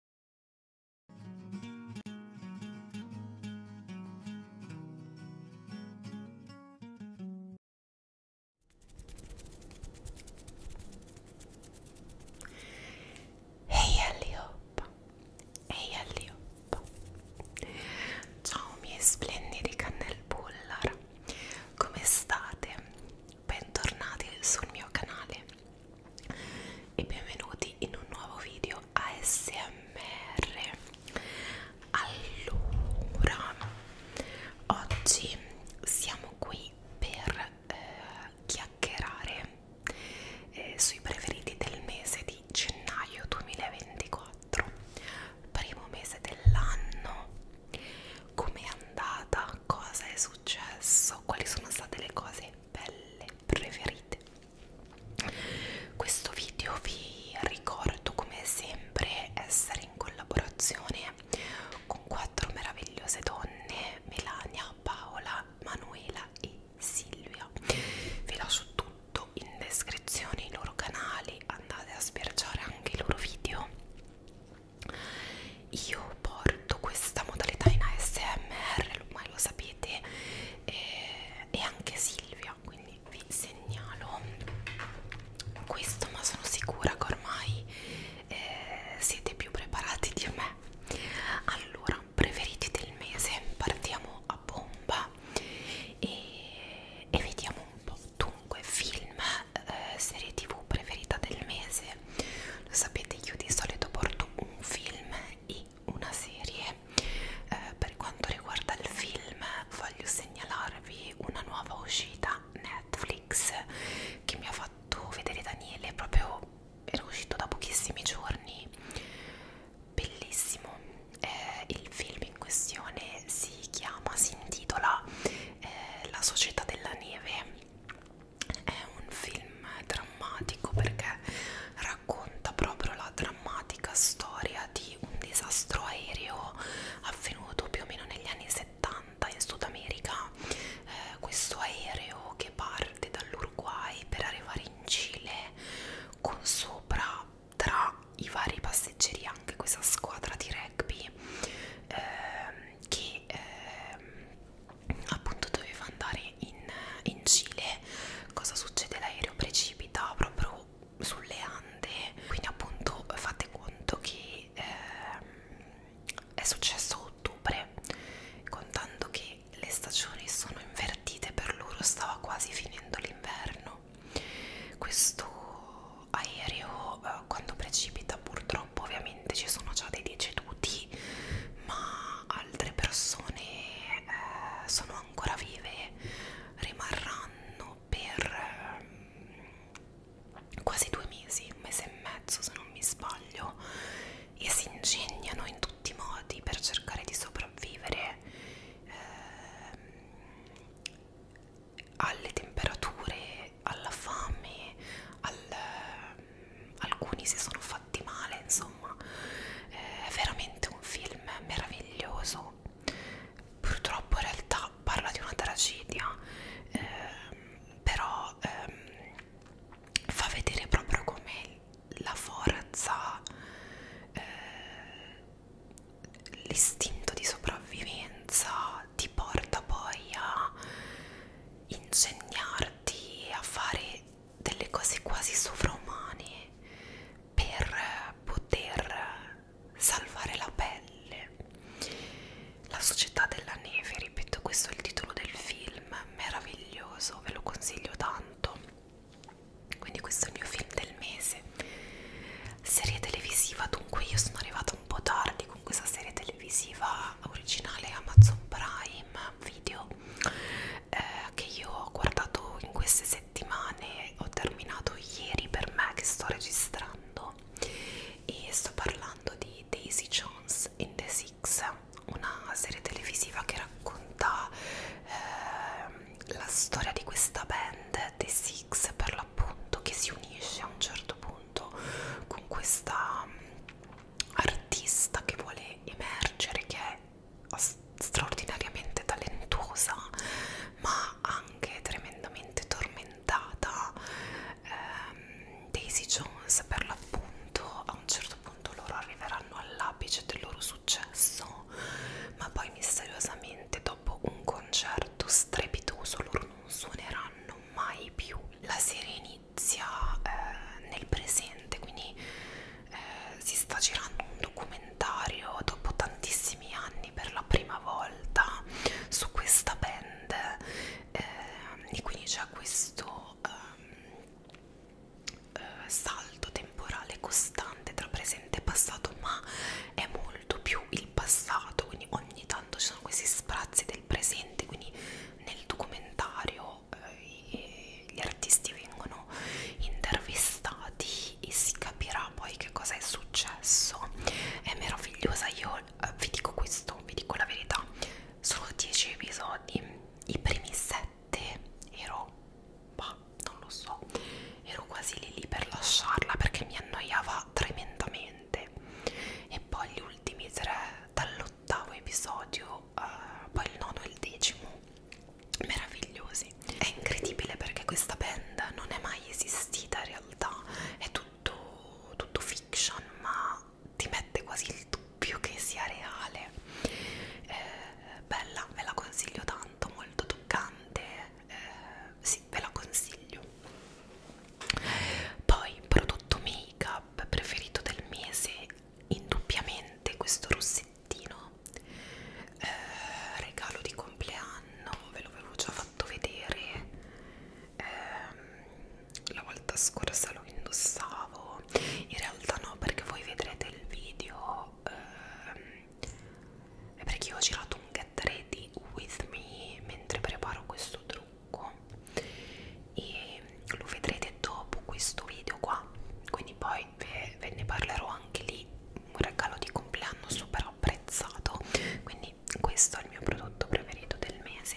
Ehi hey, Alliop, ehi hey, Alliop, ciao miei splendidi cannelbullar, come state? Bentornati sul mio canale, e benvenuti in un nuovo video ASMR allora oggi siamo qui per eh, chiacchierare eh, sui preferiti del mese di gennaio 2024 primo mese dell'anno com'è andata cosa è successo quali sono state le cose belle preferite questo video vi ricordo come sempre essere in collaborazione con quattro meravigliose donne Melania, Paola, Manuela e Silvia vi lascio tutto in descrizione i loro canali andate a sbirciare anche i loro video io porto questa modalità in ASMR, ormai lo sapete, e, e anche Silvia, quindi vi segnalo questo, ma sono sicura che ormai eh, siete più preparati di me. Allora, preferiti del mese, partiamo a bomba e, e vediamo un po'. Dunque, film, eh, serie tv preferita del mese. Lo sapete, io di solito porto un film e una serie eh, per quanto riguarda il film voglio segnalarvi una nuova uscita Netflix che mi ha fatto vedere Daniele proprio era uscito da pochissimi giorni bellissimo eh, il film in questione si chiama si intitola eh, La società della neve è un film drammatico perché racconta proprio la drammatica storia di un disastro aereo avvenuto più o meno negli anni 70 in Sud America eh, questo aereo che parte dall'Uruguay per arrivare in Cile con sopra tra i vari passeggeri anche questa squadra di rugby eh, che e ehm, appunto doveva andare in, in Cile cosa succede? l'aereo precipita proprio sulle Ande quindi appunto fate conto che ehm, è successo a ottobre contando che le stagioni sono invertite per loro stava quasi finendo l'inverno questo aereo eh, quando precipita purtroppo ovviamente ci sono già dei deceduti ma altre persone eh, sono ancora vive, rimarranno per eh, quasi due mesi, un mese e mezzo se non mi sbaglio, e si ingegnano in tutti i modi per cercare di sopravvivere eh, alle temperature, alla fame, al alcuni si sono fatti male, insomma eh, è veramente un film meraviglioso. Purtroppo in realtà parla di una tragedia, eh, però eh, fa vedere proprio come la forza, eh, l'istinto di sopravvivenza ti porta poi a ingegnarti, a fare delle cose quasi sovraumane per poter salvare la pelle. La società della neve, ripeto, questo è il titolo del film, meraviglioso, ve lo consiglio tanto. Quindi questo è il mio film del mese. Serie televisiva, dunque io sono arrivata un po' tardi con questa serie televisiva originale Amazon Prime Video eh, che io ho guardato in queste settimane ho terminato ieri per me che sto registrando e sto parlando di Daisy Jones in The Six una serie televisiva che racconta eh, la storia di questa band The Six per l'appunto che si unisce a un certo punto con questa artista che vuole emergere, che è straordinariamente talentuosa, ma anche tremendamente tormentata. Eh, Daisy Jones, per l'appunto, a un certo punto loro arriveranno all'apice del loro successo, ma poi misteriosamente, dopo un concerto strepitoso, loro non suoneranno mai più. La serie inizia inizia eh, nel presente, quindi eh, si sta girando un documentario dopo tantissimi anni per la prima volta su questa band eh, e quindi c'è questo eh, eh, salto temporale costante tra presente e passato, ma è molto più il passato, quindi ogni tanto ci sono questi sprazzi del presente, quindi nel documentario però eh, gli artisti vengono intervistati e si capirà poi che cosa è successo è meravigliosa io eh, vi dico questo vi dico la verità solo 10 episodi i primi 7 ero bah, non lo so ero quasi lì lì per lasciarla perché mi annoiava tremendamente e poi gli ultimi tre dallo l'ottavo episodio, uh, poi il nono e il decimo, meravigliosi. È incredibile perché questa band non è mai esistita in realtà, è tutto, tutto fiction, ma ti mette quasi il dubbio che sia reale. Eh, bella, ve la consiglio tanto, molto toccante, eh, sì, ve la consiglio. Poi, prodotto make-up preferito del mese indubbiamente questo rossettino eh, regalo di compleanno ve l'avevo già fatto vedere eh, la volta scorsa lo indossavo in realtà no perché voi vedrete il video eh, perché io ho girato un get ready with me mentre preparo questo trucco e lo vedrete dopo questo video qua quindi poi ve, ve ne parlerò anche lì un regalo di compleanno super apprezzato quindi questo è il mio prodotto preferito del mese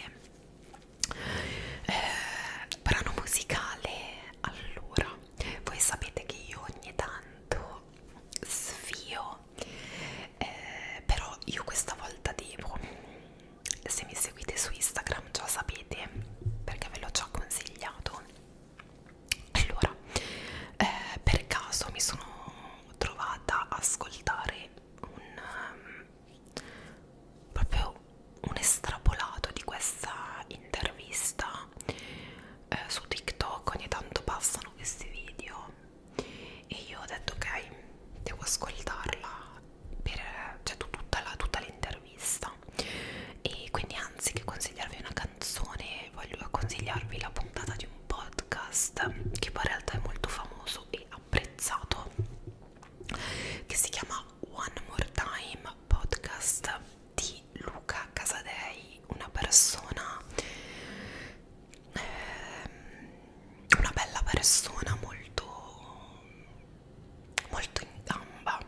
eh, brano musicale allora voi sapete che io ogni tanto sfio eh, però io questa volta devo se mi seguite su Instagram già sapete perché ve l'ho già consigliato allora eh, per caso mi sono trovata a ascoltare un um, proprio un estrapolato di questa intervista eh, su TikTok ogni tanto passano questi video e io ho detto ok devo ascoltarla per cioè, tutta l'intervista e quindi anziché consigliarvi una canzone voglio consigliarvi la puntata di un podcast che poi in realtà è molto famoso e apprezzato che si chiama One More Time Podcast di Luca Casadei una persona ehm, una bella persona molto molto in gamba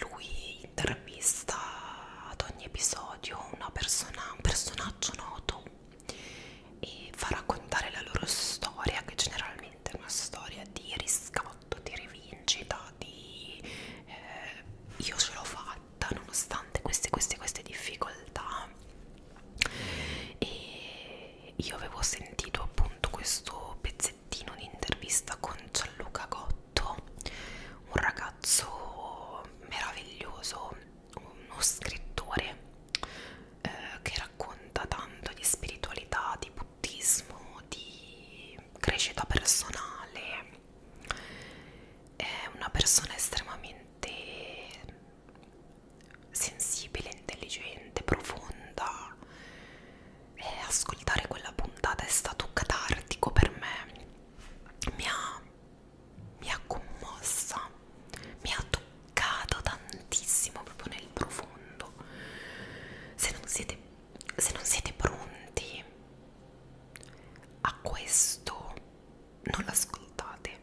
lui intervista ad ogni episodio una persona, un personaggio noto e fa raccontare la loro storia che generalmente è una storia di riscatto, di rivincita, di eh, io ce l'ho fatta nonostante queste, queste, queste difficoltà e io avevo sentito appunto questo pezzettino pezzettino di intervista con Gianluca Gotto, un ragazzo meraviglioso, uno scrittore eh, che racconta tanto di spiritualità, di buddismo, di crescita personale. È una persona estremamente sensibile, intelligente, profonda e ascoltare quella puntata è stato catartico per me, mi ha, mi ha commossa, mi ha toccato tantissimo proprio nel profondo. Se non siete, se non siete pronti a questo, non l'ascoltate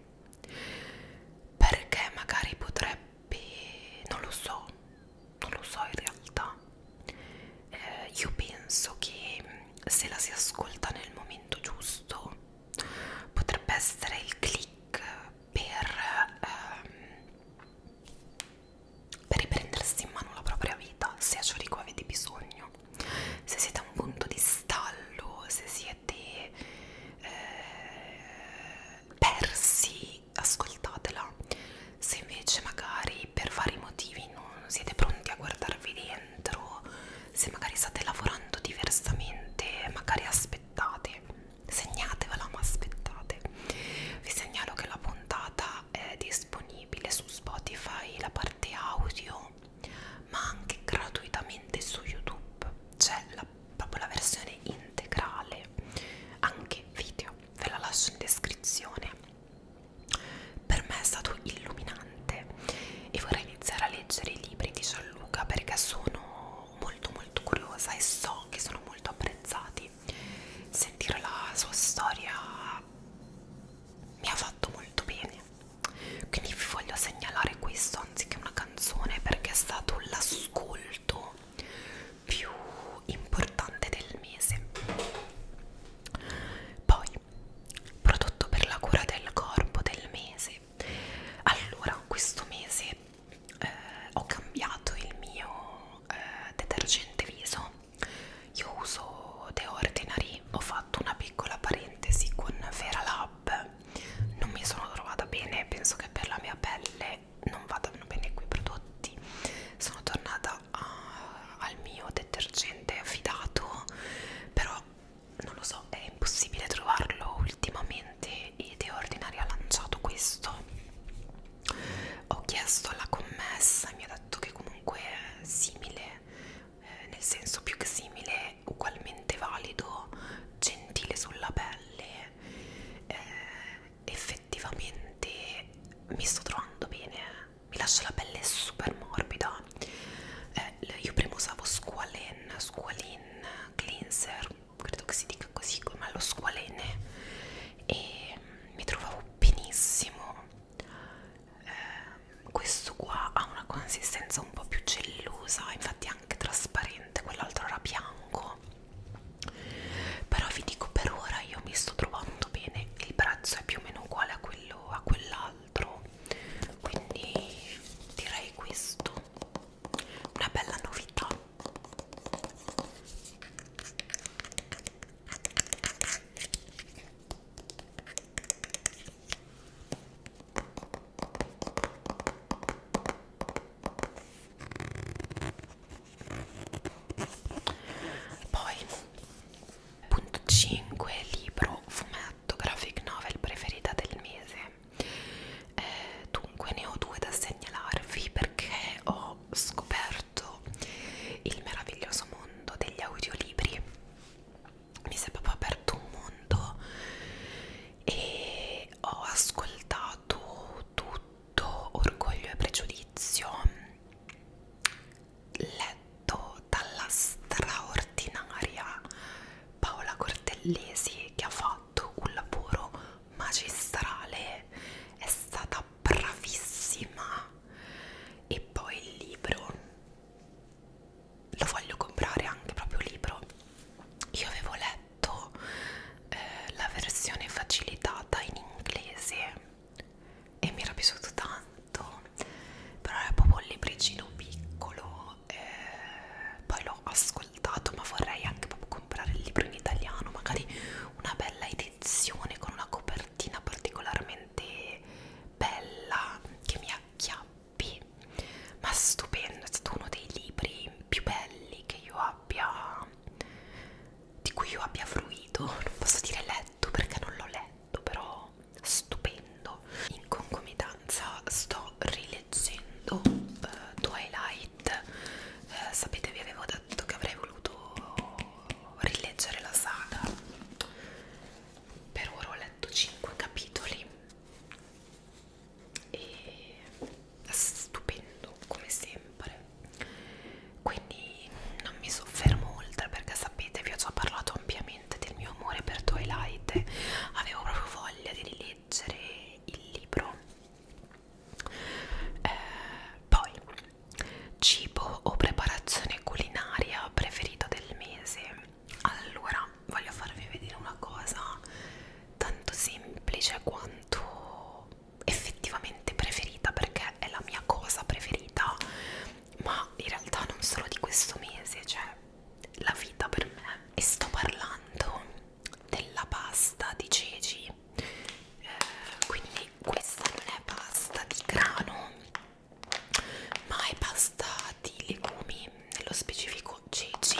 perché magari potrebbe Beh, non lo so, non lo so in realtà. Eh, io penso che mm, se la si ascolta nel momento giusto potrebbe essere il click per, ehm, per riprendersi in mano la propria vita se a Ciorico avete bisogno se siete a un punto di stallo se siete eh, persi quindi ascoltatela. Se invece magari per vari motivi non siete pronti a guardarvi dentro, se magari state lavorando diversamente, magari aspettate, segnatevela ma aspettate. Vi segnalo che la puntata è disponibile su Spotify, la parte audio, ma anche gratuitamente su YouTube. C'è la proprio la versione integrale anche video ve la lascio in descrizione per me è stato illuminante e vorrei iniziare a leggere i libri di Gianluca perché sono molto molto curiosa e so che sono molto apprezzati sentire la sua storia mi ha fatto molto bene quindi vi voglio segnalare questo anziché una canzone perché è stato l'ascolto più importante del mese. Poi, prodotto per la cura del corpo del mese. Allora, questo mese eh, ho cambiato il mio eh, detergente viso. Io uso The Ordinary, ho fatto una piccola parentesi con Fera Lab. Non mi sono trovata bene, penso che per la mia pelle perché non vadano bene quei prodotti sono tornata a, eh, al mio detergente affidato però non lo so è impossibile trovarlo ultimamente e The Ordinary ha lanciato questo ho chiesto alla commessa e mi ha detto che comunque è simile eh, nel senso più che simile ugualmente valido gentile sulla pelle eh, effe effettivamente mi sto trovando bene eh. mi lascia la pelle super morbida eh, io prima usavo squalene squalene cleanser credo che si dica così ma lo squalene e mi trovavo benissimo eh, questo qua ha una consistenza un po' più gellosa infatti anche trasparente quell'altro era bianco no però vi dico per ora io mi sto trovando bene il prezzo è più o meno uguale a quello a quell'altro quindi direi questo una bella novità poi, punto 5, libro, fumetto, graphic novel preferita del mese. Eh, dunque ne ho due da segnalarvi perché ho scoperto il meraviglioso mondo degli audiolibri. Mi si è proprio aperto un mondo e ho ascoltato tutti tutto orgoglio e pregiudizio letto dalla straordinaria Paola Cortellesi che ha fatto un lavoro magistrale è stata bravissima e poi il libro lo voglio comprare anche proprio libro io avevo letto letto eh, la versione facilitata in inglese e mi era piaciuto tanto però era proprio un libricino piccolo eh, poi l'ho ascoltato ma vorrei anche proprio comprare il libro in italiano magari una bella edizione con una copertina particolarmente bella che mi acchiappi ma stupendo è stato uno dei libri più belli che io abbia di cui io abbia fruito non posso dire letto perché non l'ho letto però stupendo in concomitanza sto rileggendo eh, Twilight eh, sapete vi avevo detto che avrei voluto rileggere la saga per ora ho letto 5 capitoli e stupendo come sempre quindi non mi soffermo oltre perché sapete vi ho già parlato ampiamente del mio amore per Twilight avevo proprio voglia di rileggere il libro eh, poi cibo o preparazione culinaria preferita del mese allora voglio farvi vedere una cosa tanto semplice quanto effettivamente preferita perché è la mia cosa preferita ma in realtà non solo di questo mese cioè la vita per me e sto parlando della pasta di ceci eh, quindi questa non è pasta di grano ma è pasta di legumi nello specifico ceci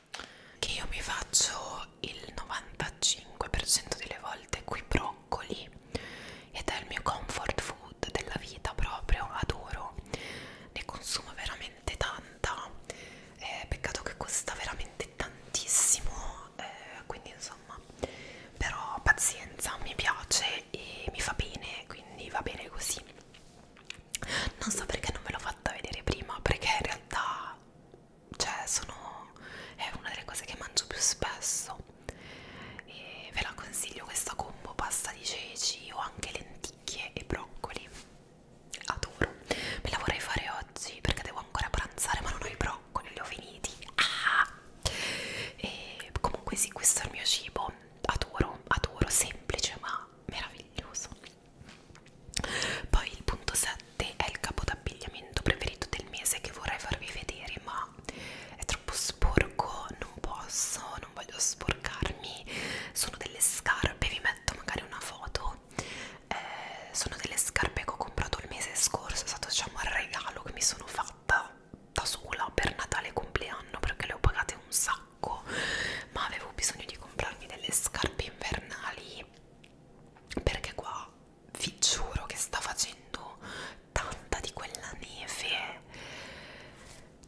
che io mi faccio il 95% delle volte qui broccoli ed è il mio comfort food della vita proprio, adoro ne consumo veramente tanta eh, peccato che costa veramente tantissimo eh, quindi insomma però pazienza mi piace e mi fa bene quindi va bene così non so perché non me l'ho fatta vedere prima perché in realtà cioè sono è una delle cose che mangio più spesso e ve la consiglio questa combo pasta di ceci o anche lenticchie e broccoli adoro me la vorrei fare oggi perché devo ancora pranzare ma non ho i broccoli li ho finiti ah! e comunque sì questo è il mio cibo adoro adoro semplice ma meraviglioso poi il punto 7 è il capo d'abbigliamento preferito del mese che vorrei farvi vedere, ma è troppo sporco, non posso, non voglio sporcarmi. Sono delle scarpe, vi metto magari una foto. Eh, sono delle scarpe che ho comprato il mese scorso, è stato diciamo il regalo che mi sono fatta da sola per Natale e compleanno perché le ho pagate un sacco sacco ma avevo bisogno di comprarmi delle scarpe invernali perché qua vi giuro che sta facendo tanta di quella neve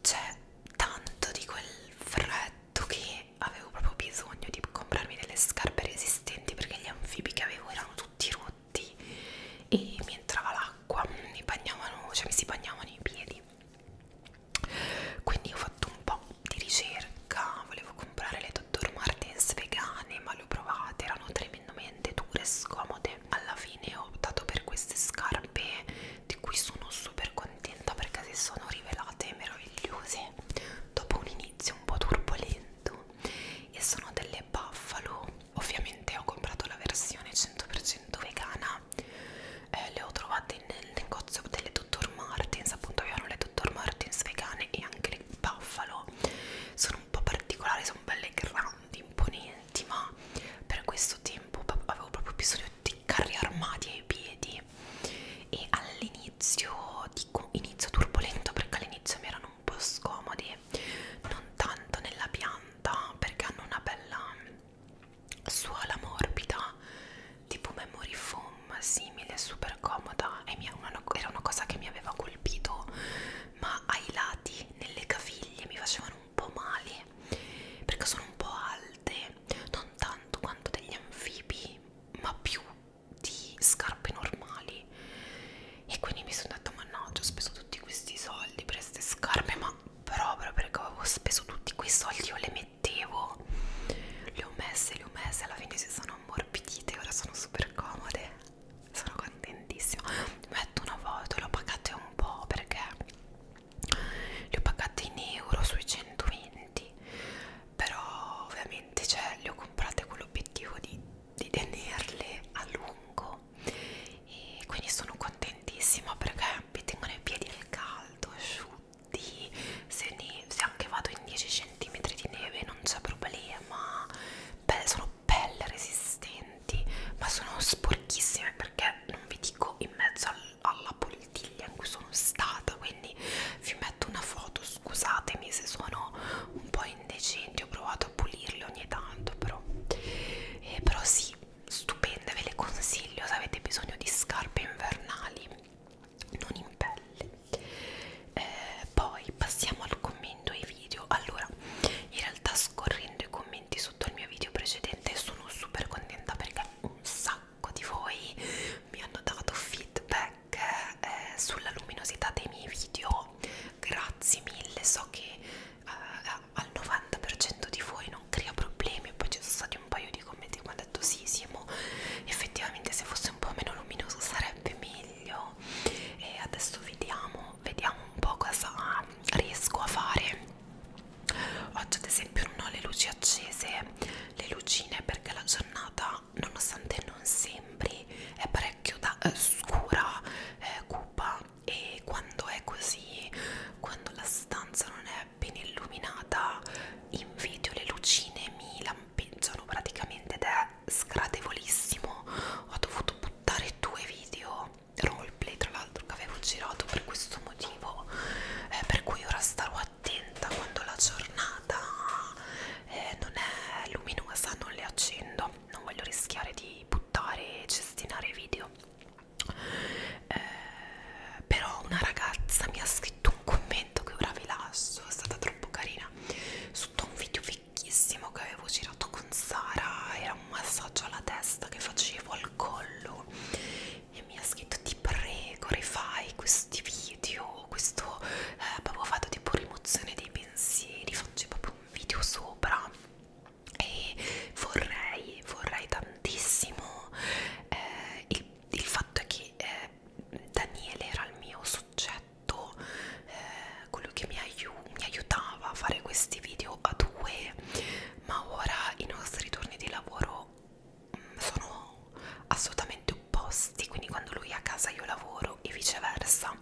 c'è cioè, tanto di quel freddo che avevo proprio bisogno di comprarmi delle scarpe resistenti perché gli anfibi che avevo erano tutti rotti e mi entrava l'acqua mi bagnavano cioè mi si bagnavano i piedi quindi ho fatto un po' di ricerca volevo comprare le Dr. Martens vegane ma le ho provate erano tremendamente dure e scomode alla fine ho optato per queste scarpe di cui sono super contenta perché si sono rivelate meravigliose dopo un inizio un po' turbolento e sono delle Buffalo ovviamente ho comprato la versione 100% vegana eh, le ho trovate comprate nel negozio delle Dr. Martens, appunto io le Dr. Martens vegane e anche le Buffalo sono un po' particolari, sono belle grandi, imponenti, ma per questo tempo avevo proprio bisogno di carri armati ai piedi e all'inizio, dico inizio turbolento perché all'inizio mi erano un po' scomodi, non tanto nella pianta perché hanno una bella suola morbida tipo memory foam simile, super comoda e mi, una, era una cosa che mi aveva colpito ma ai lati, nelle caviglie, mi facevano un po' male perché sono un po' alte, non tanto quanto degli anfibi ma più di scarpe normali e quindi mi sono detta ma no, ho speso tutti questi soldi per queste scarpe ma proprio perché avevo speso tutti quei soldi io le mettevo protettivo le ho messe le ho messe alla fine si sono ammorbidite ora sono super comode sono contentissima metto una foto le ho pagate un po' perché le ho pagate in euro sui 120 però ovviamente cioè, le ho comprate con l'obiettivo di, di tenerle a lungo e quindi sono contentissima perché mi tengono in piedi al caldo asciutte minuti se, ne, se anche vado in 10 cm di neve non c'è problema Beh, sono belle resistenti ma sono sporchissime perché non vi dico in mezzo al, alla poltiglia in cui sono stata quindi vi metto una foto scusatemi se sono un po' indecenti ho provato a pulirle ogni tanto però eh, però sì stupende ve le consiglio se avete bisogno di scarpe invernali non in pelle eh, poi passiamo al commento ai video allora in realtà scorrendo i commenti sotto il mio video precedente sono super contenta perché un sacco di voi mi hanno dato feedback eh, sulla luminosità dei miei video grazie mille so che eh, al 90% di voi non crea problemi poi ci sono stati un paio di commenti mi hanno detto sì Simo effettivamente se fosse un po' meno luminoso sarebbe meglio e adesso vediamo vediamo un po' cosa riesco a fare oggi ad esempio non ho le luci accese le lucine perché la giornata nonostante non sembri è parecchio da, eh, scura eh, cupa e quando è così quando la stanza non è appena illuminata in video le lucine mi lampeggiano praticamente ed è sgradevolissimo ho dovuto buttare due video roleplay tra l'altro che avevo girato per questo motivo eh, per cui ora starò attenta quando la giornata eh, non è luminosa non le accendo non voglio rischiare di buttare e cestinare video eh, però una ragazza mi ha scritto scritto un commento che ora vi lascio, è stata troppo carina, sotto un video vecchissimo che avevo girato con Sara, era un massaggio alla testa che facevo al collo e mi ha scritto ti prego rifai questi video, questo eh, proprio fatto tipo rimozione dei pensieri, faccio proprio un video sopra e vorrei, vorrei tantissimo eh, il, il fatto è che eh, Daniele era il mio soggetto, eh, quello che mi, aiu mi aiutava a fare questi video a due, ma ora i nostri turni di lavoro mh, mm, sono assolutamente opposti, quindi quando lui è a casa io lavoro e viceversa,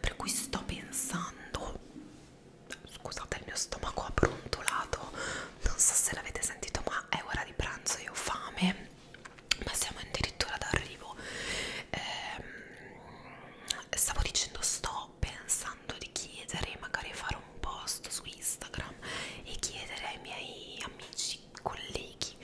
per cui sto pensando, scusate il mio stomaco ha brontolato, non so se l'avete sentito ma è ora di pranzo e ho fame ma siamo addirittura d'arrivo eh, stavo dicendo sto pensando di chiedere magari fare un post su Instagram e chiedere ai miei amici colleghi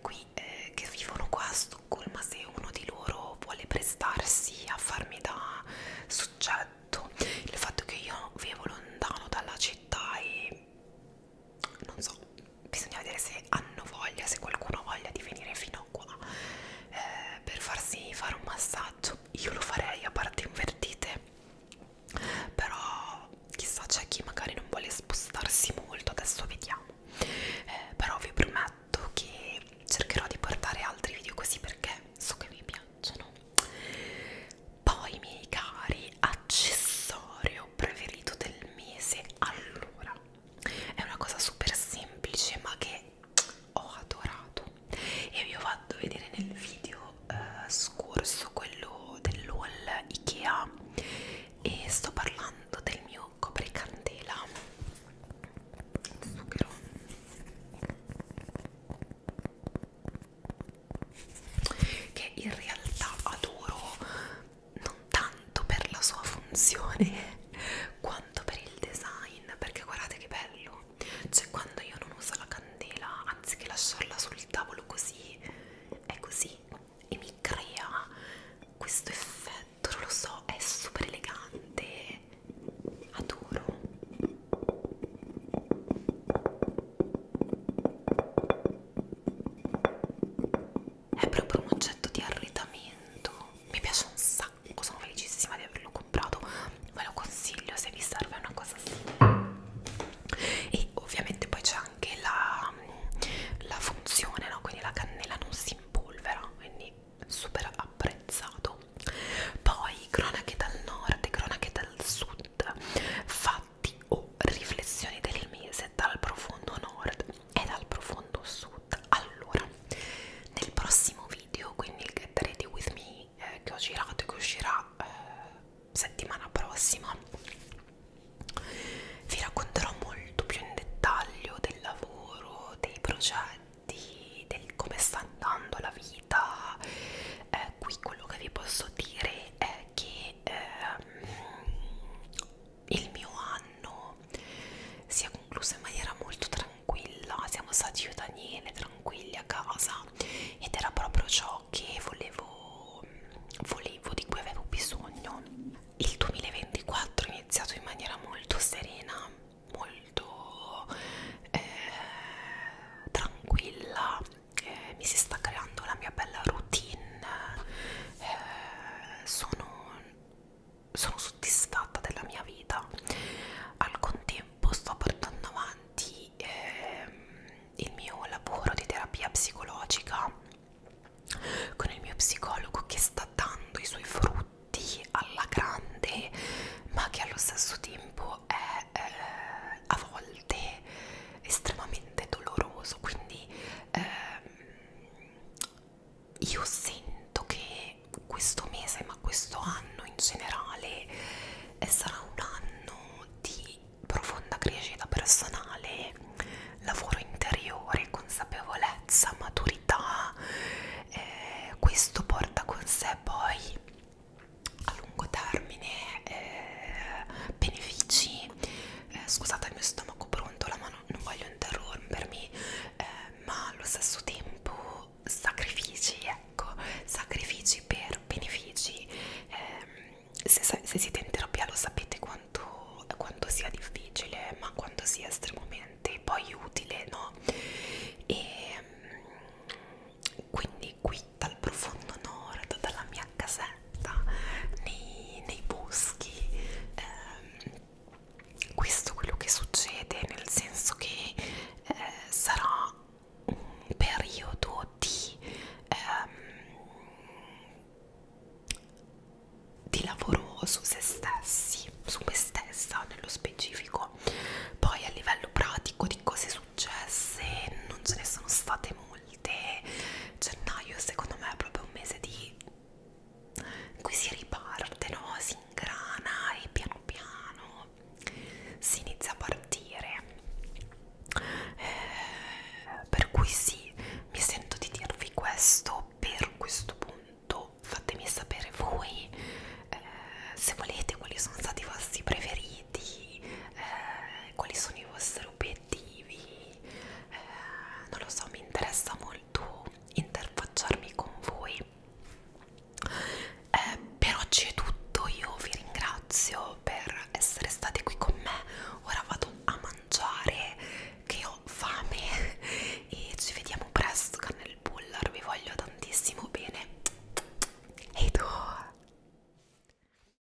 qui eh, che vivono qua a Stoccolma se uno di loro vuole prestarsi a farmi da soggetto il fatto che io vivo lontano dalla città e non so, bisogna vedere se hanno voglia, se qualcuno ha voglia di venire fino a qua eh, per farsi fare un massaggio. Io lo farei a parti invertite, però chissà c'è chi magari non vuole spostarsi molto, adesso vediamo. Eh, però vi prometto che cercherò di portare altri video così perché so che vi piacciono poi miei cari accessorio preferito del mese allora è una cosa super semplice ma che ho adorato e vi ho fatto vedere nel video eh, scorso quello dell'haul Ikea e sto parlando del mio copricandela zucchero che in realtà adoro non tanto per la sua funzione quanto per il design perché guardate che bello cioè quando io non uso la candela anziché lasciarla sul tavolo così è così e mi crea questo effetto non lo so è super elegante adoro è proprio un oggetto di arredamento. Mi piace un sacco, sono felicissima di averlo comprato. Ve lo consiglio se vi serve una cosa simile. E ovviamente poi c'è anche la, la funzione, no? Quindi la cannella non si impolvera, quindi super apprezzato. Poi cronache dal nord e cronache dal sud Nord, fatti o riflessioni del mese dal profondo nord e dal profondo sud. Allora, nel prossimo video, quindi il Get Ready With Me eh, che ho girato e che uscirà eh, settimana prossima, vi racconterò molto più in dettaglio del lavoro, dei progetti, del come sta andando la vita. Eh, qui quello che vi posso dire è che che ehm, il mio anno sia concluso in maniera molto tranquilla, siamo stati io e Daniele tranquilli a casa ed era proprio ciò che volevo, volevo di cui avevo bisogno. Il 2024 è iniziato in maniera molto serena, molto eh, tranquilla eh, mi si sta creando la mia bella routine, eh, sono, sono soddisfatta della mia vita, al contempo sto portando avanti eh, il mio lavoro di terapia psicologica con il mio psicologo che sta dando i suoi frutti alla grande ma che allo stesso tempo è eh, a volte estremamente doloroso quindi ehm, io sento che questo mese ma questo anno in generale eh, sarà un anno di profonda crescita personale lavoro interiore consapevolezza maturità eh, questo porta con sé poi lungo termine eh, benefici eh, scusate il mio stomaco brontola ma non, non voglio interrompermi eh, ma allo stesso tempo sacrifici ecco sacrifici per benefici eh, se, se siete in terapia lo sapete quanto, quanto sia difficile ma quanto sia estremamente poi utile no e ehm, quindi quindi qui dal profondo nord, dalla mia casetta, nei, nei boschi, ehm, questo è quello che succede, nel senso che eh, sarà un periodo di, ehm, di lavoro su se stessi, su me stessa nello specifico. Poi a livello pratico di cose successe non ce ne sono state molte multe gennaio cioè, secondo me è proprio un mese di in cui si riparte no? si ingrana e piano piano si inizia a partire eh, per cui sì mi sento di dirvi questo per questo punto fatemi sapere voi eh, se volete quali sono stati i vostri preferiti eh, quali sono i vostri obiettivi, eh, non lo so, mi interessa molto interfacciarmi con voi. Eh, per oggi è tutto, io vi ringrazio per essere stati qui con me, ora vado a mangiare che ho fame e ci vediamo presto Cannel Bullar, vi voglio tantissimo bene e tu